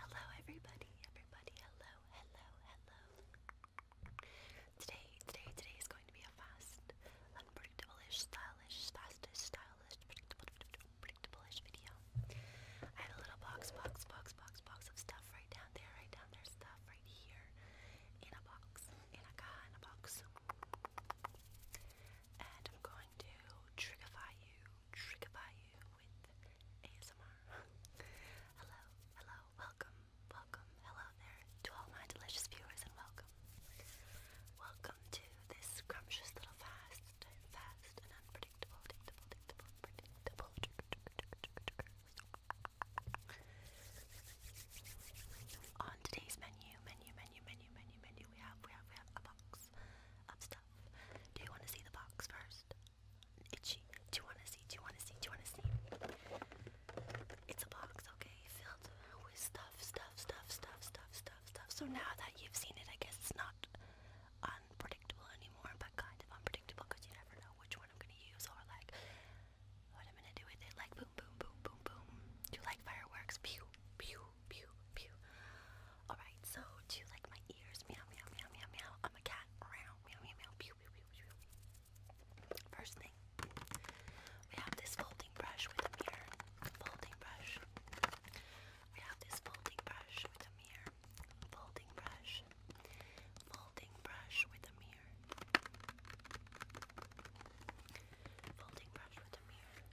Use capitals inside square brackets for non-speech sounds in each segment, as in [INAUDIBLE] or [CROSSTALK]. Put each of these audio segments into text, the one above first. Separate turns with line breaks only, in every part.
Hello, everybody, everybody, hello, hello, hello. Today, today, today is going to be a fast, unpredictable-ish, stylish, fastest, stylish, predictable, predictable-ish video. I have a little box, box, box, box, box of stuff right down there, right down there, stuff right here, in a box, in a car, in a box. And I'm going to triggerify you Trickify you with ASMR. [LAUGHS] hello, hello, welcome, welcome, hello there to all my delicious viewers and welcome. Welcome to this scrumptious little fast, fast and unpredictable, predictable, predictable, predictable. On today's menu, menu, menu, menu, menu, menu, we have, we have, we have a box. Do you want to see the box first? Itchy. Do you want to see? Do you want to see? Do you want to see? It's a box, okay, filled with stuff, stuff, stuff, stuff, stuff, stuff, stuff. So now that you've seen it, I guess it's not unpredictable anymore, but kind of unpredictable because you never know which one I'm going to use or like what I'm going to do with it. Like boom, boom, boom, boom, boom. Do you like fireworks? Pew, pew, pew, pew. Alright, so do you like my ears? Meow, meow, meow, meow, meow. I'm a cat. Around. Meow, meow, meow. Pew, pew, pew, pew. First thing, we have this folding brush with a mirror. Folding brush. We have this folding brush with a mirror. Folding brush. Folding brush with a mirror. Folding brush with a mirror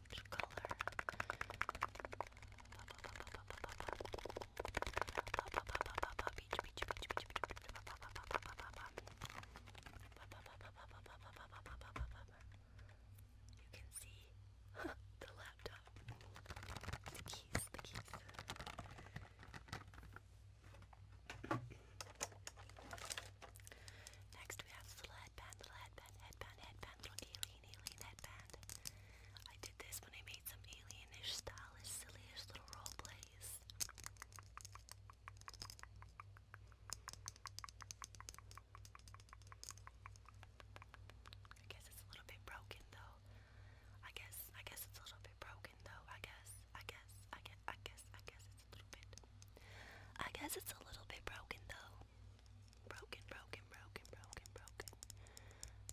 you can see the laptop, the keys, the keys. Next we have the headband, the headband, headband, headband, little alien. Alien Headband. I did this when I made some alienish, stylish, sillyish little role plays. I guess it's a little bit broken though. I guess I guess it's a little bit broken though. I guess I guess I guess I guess I guess it's a little bit. I guess it's a little bit broken though. Broken, broken, broken, broken, broken.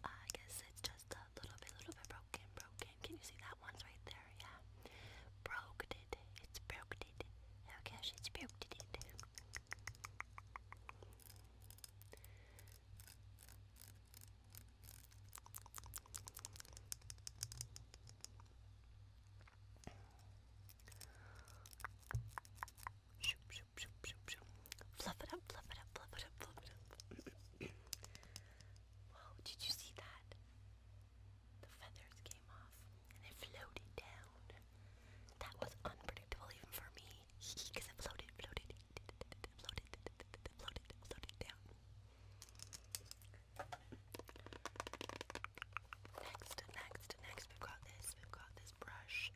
I guess it's just a little bit, little bit broken, broken. Can you see that one's right there? Yeah. Broke It's broke Oh gosh, it's broke Shoop, shoop, shoop, shoop, shoop. Fluff it up, fluff it up, fluff it up, fluff it up. [COUGHS] Whoa, did you see that? The feathers came off and it floated down. That was unpredictable even for me. Because [LAUGHS] it floated, floated, floated, floated, floated down. Next, next, next, we've got this. We've got this brush.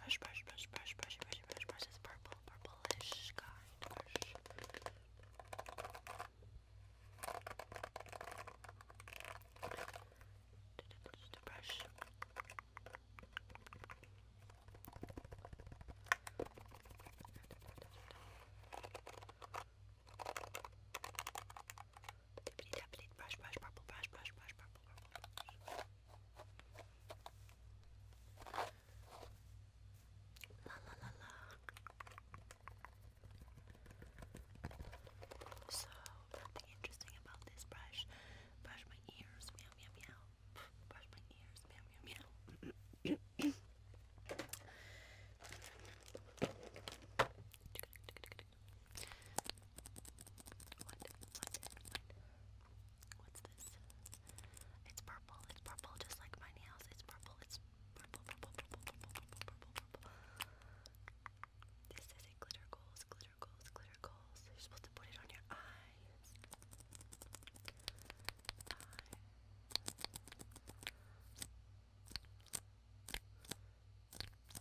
Brush, brush, brush, brush, brush, brush, brush, brush. It's purple, purplish kind Brush brush, brush, purple, brush, brush, brush, purple, purple, brush. La la la la. So nothing interesting about this brush. Brush my ears, meow meow meow. Brush my ears, meow meow meow. [CLEARS THROAT] What? What? What? What's this? It's purple. It's purple, just like my nails. It's purple. It's purple, purple, purple, purple, purple, purple, purple. This is a glitter goals, glitter goals, glitter goals. You're supposed to put it on your eyes. Eyes.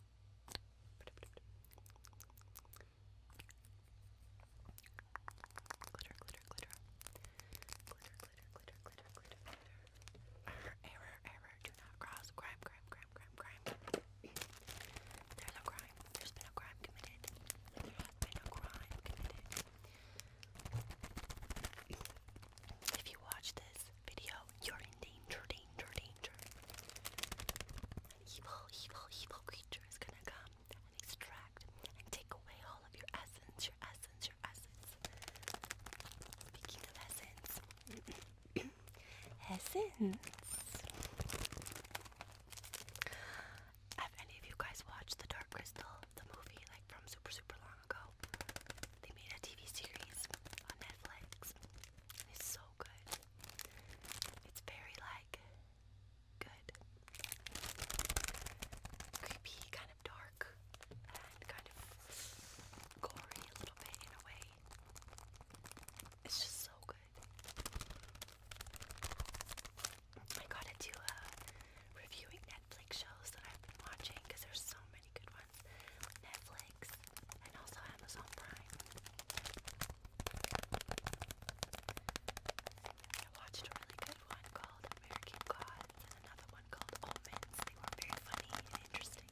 Glitter, glitter, glitter. Glitter, glitter, glitter, glitter, glitter, glitter. Error, error, error. Do not cross. Crime, crime, crime, crime, crime. There's a crime. There's been a crime committed. There's been a crime committed. If you watch this video, you're in danger, danger, danger. An evil, evil, evil creature is gonna come and extract and take away all of your essence, your essence, your essence. Speaking of essence, [CLEARS THROAT] essence. Have any of you guys watched The Dark Crystal, the movie, like from super, super long ago? They made a TV series on Netflix. It's so good. It's very like good. Creepy, kind of dark, and kind of gory a little bit in a way. It's just so good. I gotta do a uh, reviewing Netflix shows that I've been watching because there's so many good ones platforms like Netflix and also Amazon Prime. I watched a really good one called American Gods and another one called Omens. They were very funny and interesting.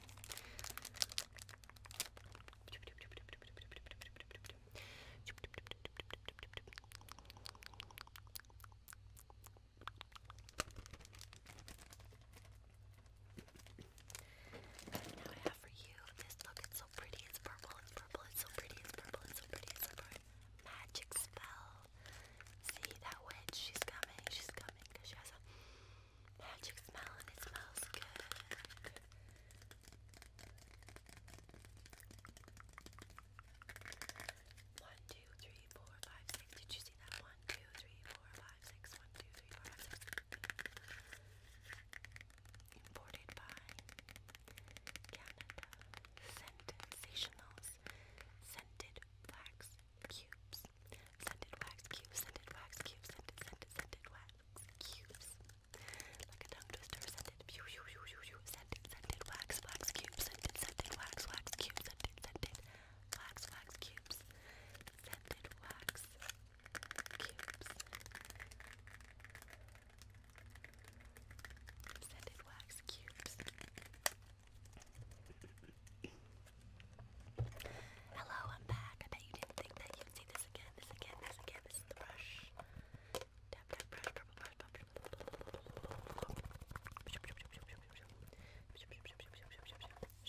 Now I have for you this look, it's so pretty, it's purple, it's purple, it's so pretty, it's purple, it's so pretty, it's purple. Magic spell. See that witch, she's coming, she's coming, because she has a magic smell and it smells good. One, two, three, four, five, six see that? 1, Canada. Sensationals. Scented wax cubes. Scented wax cubes. Scented wax cubes. Scented, scented, wax cubes. Like a tongue twister. Scented. Pew, pew, pew, pew, pew. Scented, scented wax, wax cubes. Scented, scented wax, wax cubes. Scented, scented wax, wax cubes scented wax cubes. Scented wax cubes. Hello, I'm back. I bet you didn't think that you'd see this again, this again, this again. This is the brush. Tap, tap, brush, purple brush, purple. Brush.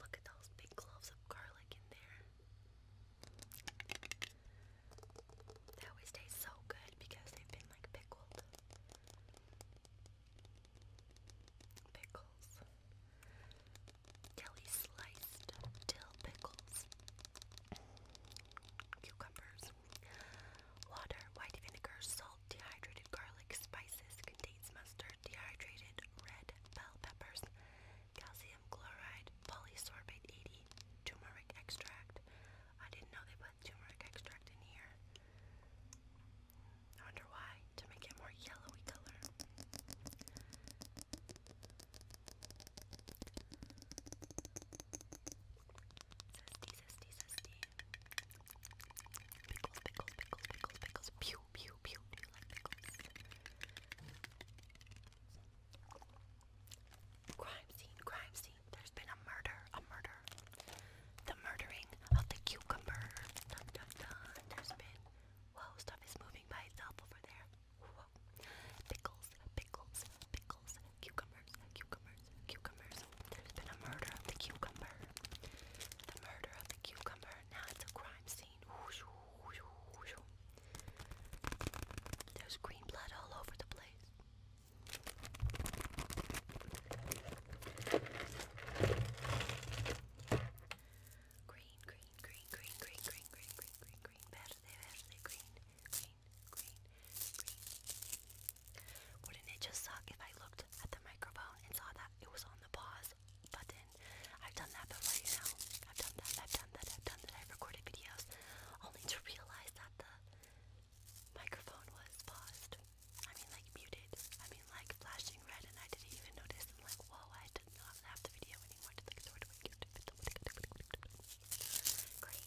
Look at those big cloves of garlic in there. They always taste so good because they've been like pickled. Pickles. Dilly sliced dill pickles. Cucumbers water, white vinegar, salt, dehydrated garlic, spices, contains mustard, dehydrated red bell peppers, calcium chloride, polysorbate 80, turmeric extract. I didn't know they put turmeric extract in here. I wonder why, to make it more yellowy color. Pickles, pickles, pickles, pickles, pickles. Pew, pew, pew. Do pickles? Crime scene, crime scene. There's been a murder, a murder. The murdering of the cucumber. Dun, dun, dun. There's been. Whoa, stuff is moving by itself over there. Pickles, pickles, pickles. Cucumbers, cucumbers cucumbers. There's been a murder of the cucumber. The murder of the cucumber. Now it's a crime scene. There's green blood all over the place. Green, green, green, green, green, green, green, green, green, green, wouldn't it just suck if I looked at the microphone and saw that it was on the pause button? I've done that before, you know. I've done that, I've done that, I've done that. I've recorded videos only to realize that the microphone was paused. I mean, like muted. I mean, like flashing red, and I didn't even notice. i like, whoa, I did not have the video anymore. Just like, Green.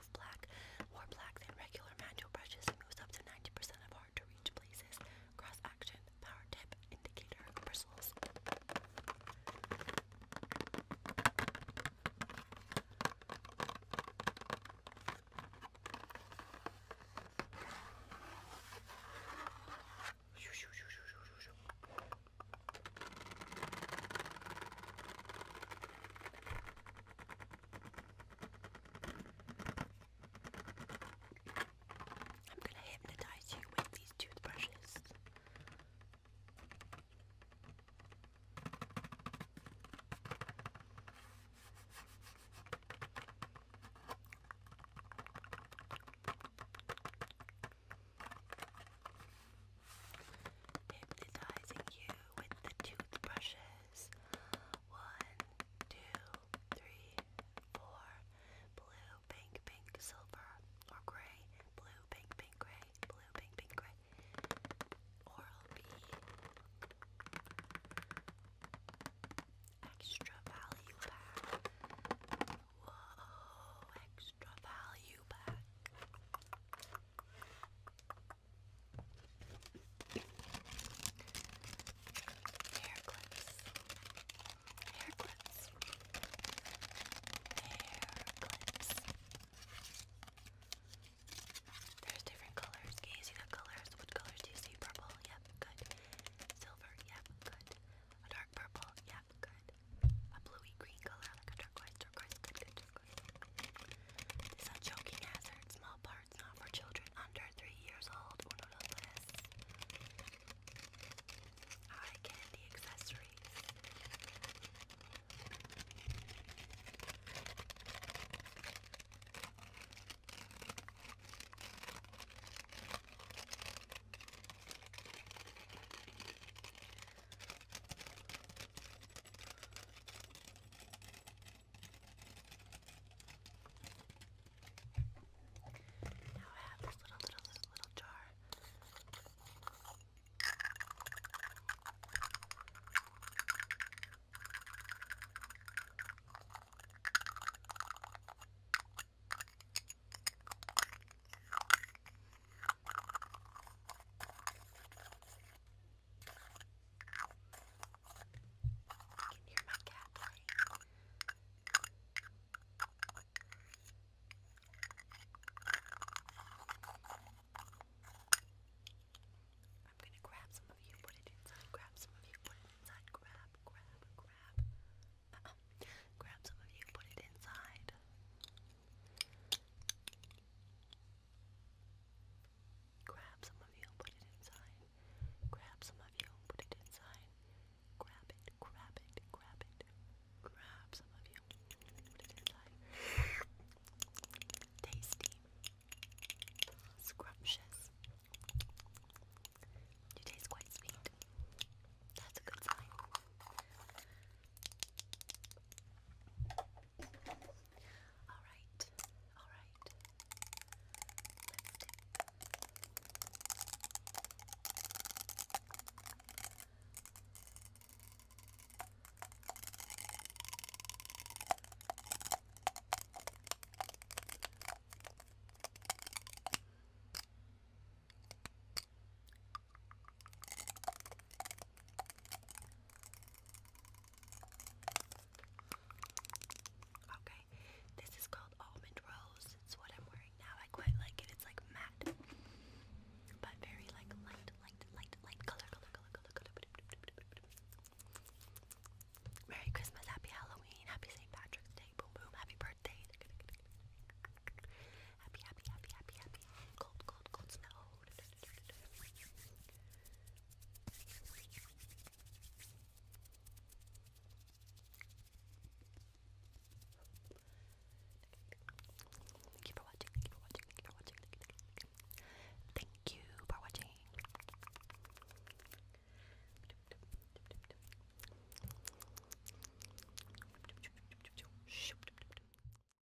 remove black, more black than regular manual brushes, and moves up to 90% of hard-to-reach places. Cross-action, power tip, indicator, bristles. I'm gonna hypnotize you with these toothbrushes. Hypnotizing you with the toothbrushes. One, two, three, four. Blue, pink, pink, silver, or gray. Blue, pink, pink, gray. Blue, pink, pink, gray. Oral B. Extra value pack. Whoa, extra value pack. Hair clips. Hair clips. Hair clips. There's different colors. Can you see the colors? What colors do you see? Purple? Yep, good. Silver? Yep, good. A dark purple? Yep, good. A bluey green color, like a turquoise, turquoise, good, these are choking hazards. Small parts not for children under three years old or candy accessories. Now I have this little, little, little, little jar. I I am gonna grab some of you, put it inside, grab some of you, put it inside, grab, grab, grab. Grab some of you, put it inside. Grab some of you put it inside. Grab some of you put it inside. Grab it, grab it, grab it. Grab some of you put it inside. Tasty. Scrumptious. You taste quite sweet. That's a good sign. Alright, alright. Okay, this is called Almond Rose. It's what I'm wearing now. I quite like it. It's like matte, but very like light, light, light, light color, color, color, color, color. Merry Christmas, Happy Halloween, Happy St. Patrick's Day, boom, boom, Happy Birthday. Happy, happy, happy, happy, happy. Cold, cold, cold snow. Thank you for watching. Thank you for watching. Thank you for watching. Thank you for watching. Thank you for watching.